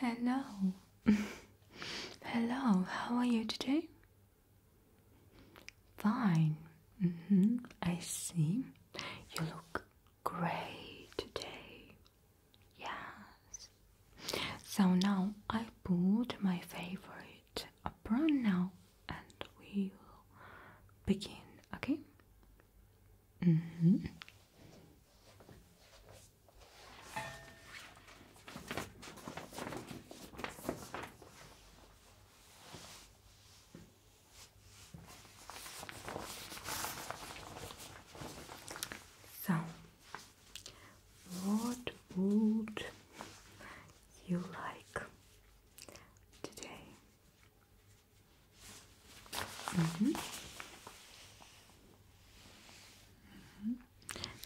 Hello. Hello, how are you today? Fine. Mm-hmm, I see. You look great today. Yes. So now I put my favorite apron now, and we'll begin, okay? Mm -hmm. So, what would you like today? Mm-hmm.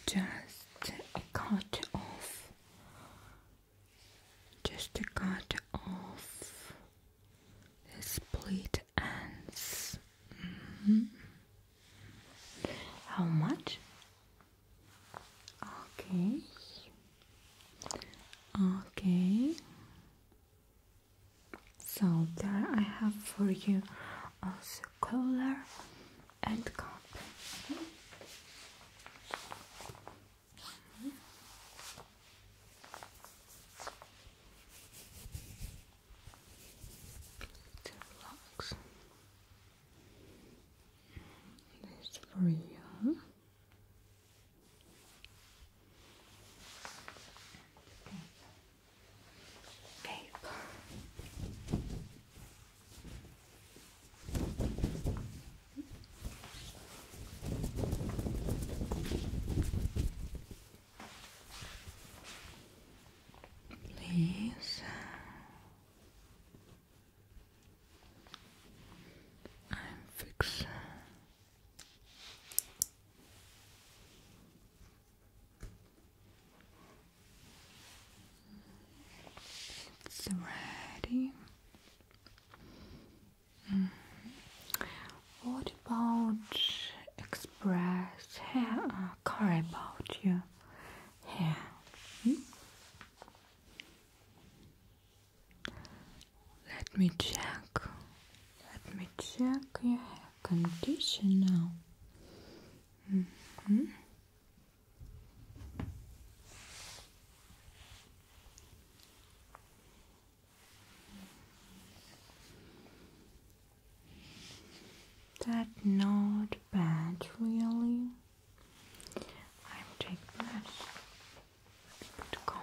Just cut off. Just cut off the split ends. Mm-hmm. How much? Okay. Okay. So there I have for you also color and cup. Okay. Mm This for you. Okay. Please. I'm fixed. It's ready. Mm-hmm. What about express hair? Uh, about you. hair? Hmm? Let me check. Let me check your hair condition now. Mm That not bad, really. I'm taking that comb.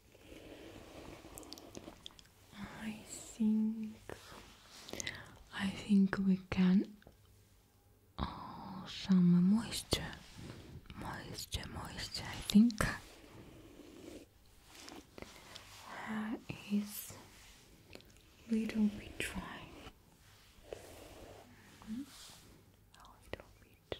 I think I think we can oh some moisture moisture moisture I think hair is little bit dry mm-hmm. a little bit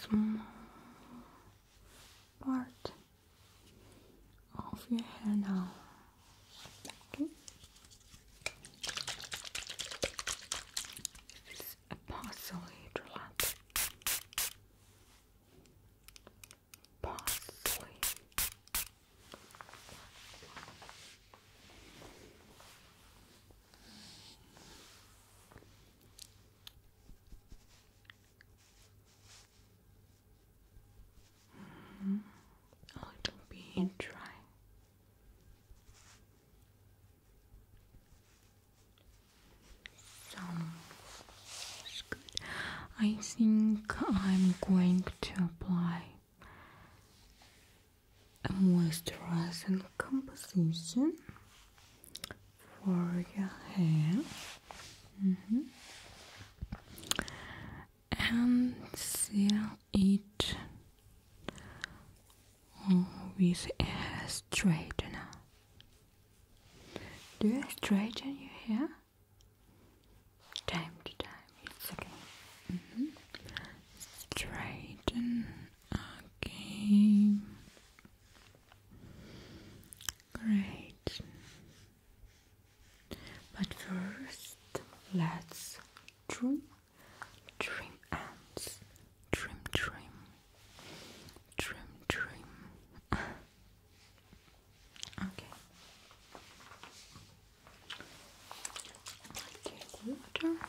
small part of your hair now. This is a parsley drop. Mm -hmm. A dry. So that's good. I think I'm going to apply a moisturizing composition for your hair mm -hmm. and seal it with a straightener. Do you straighten your hair? Time to time, it's okay. Mm Straighten, okay. Great. But first, let's dream, dream ants, dream, dream, dream, dream. okay. Take water.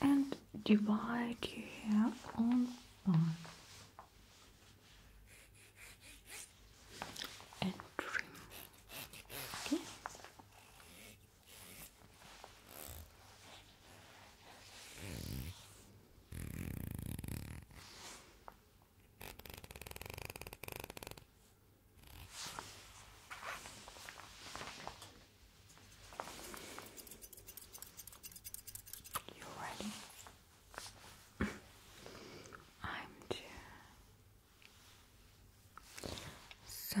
And divide your hair on one and trim. Okay. You ready? I'm too. So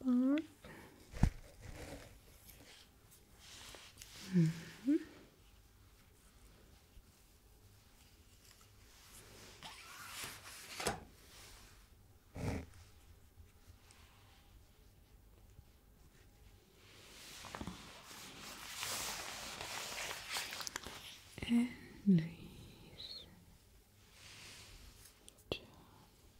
Bar. -hmm. And Luis.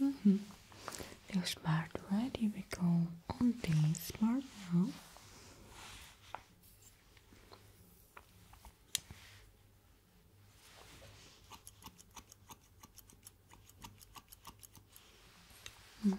Mm -hmm. Feel smart, right? do we go. On this part now. Mm.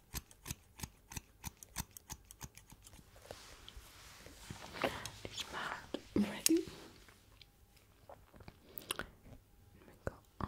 It's bad already. We go up.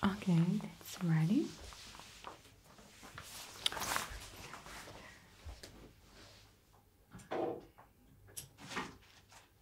Okay, that's ready.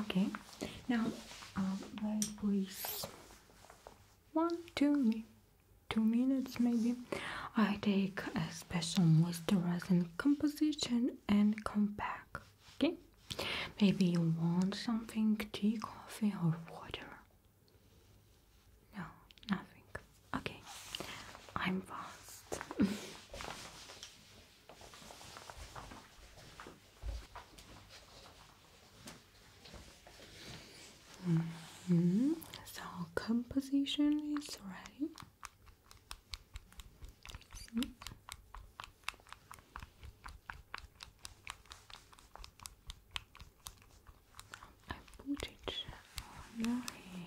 Okay, now please. Um, one, two, me, two minutes maybe. I take a special moisturizing composition and come back. Okay, maybe you want something tea, coffee, or water. No, nothing. Okay, I'm fast. -hmm. So composition is ready. I put it on here.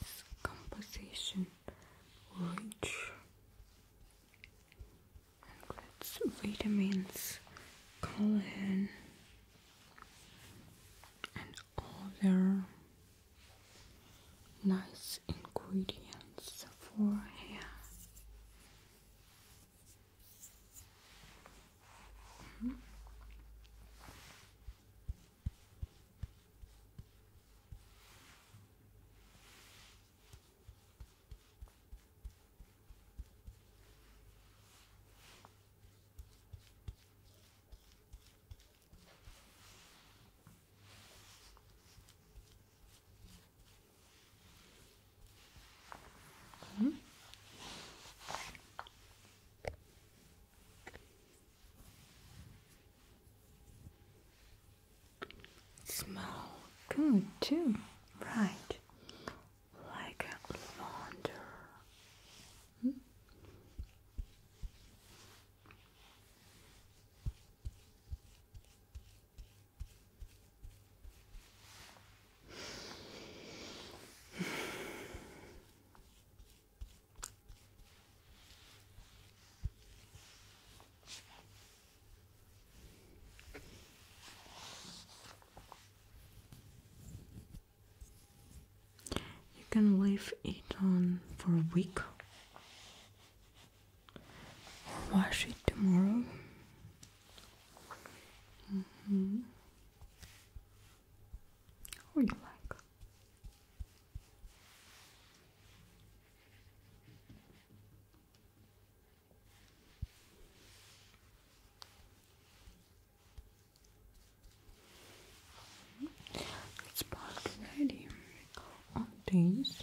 this composition rich and vitamins, collagen and other nice ingredients for hair. Mm -hmm. -hmm. Smell good too, right? Like lavender. Hmm? You can leave it on for a week wash it tomorrow. Mm -hmm or you like. It's part ready on these.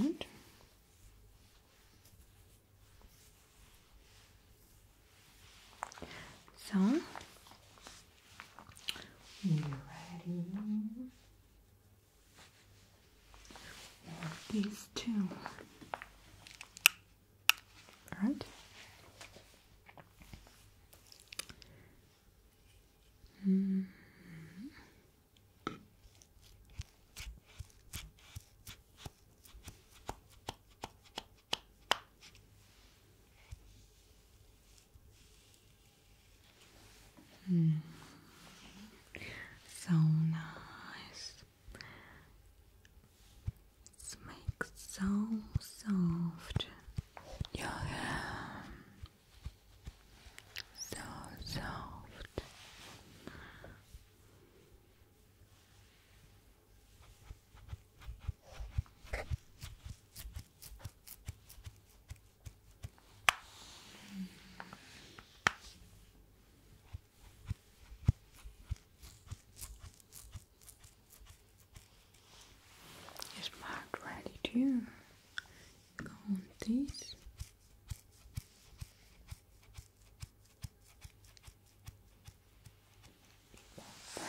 Good. So, you ready? These two. All right. -hmm. So nice. It so soft your hair, so soft. Is Mark ready to go on this? Perfect.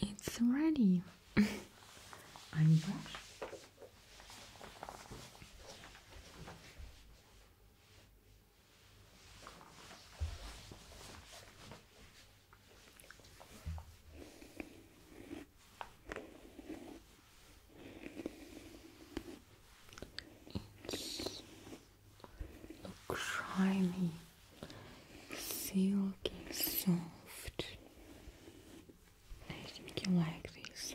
It's ready. It's shiny, silky, soft. I think you like this.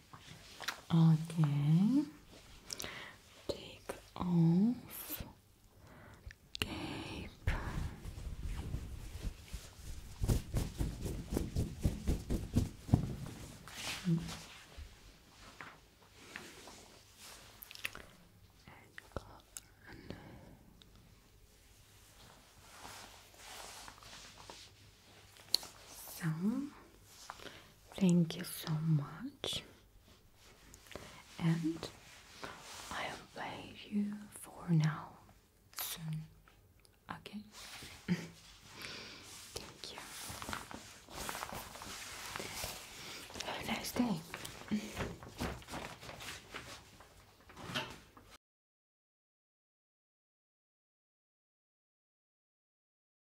Okay. Take off cape. Mm. Thank you so much. And I'll play you for now soon. Okay? Thank you. Have a nice day.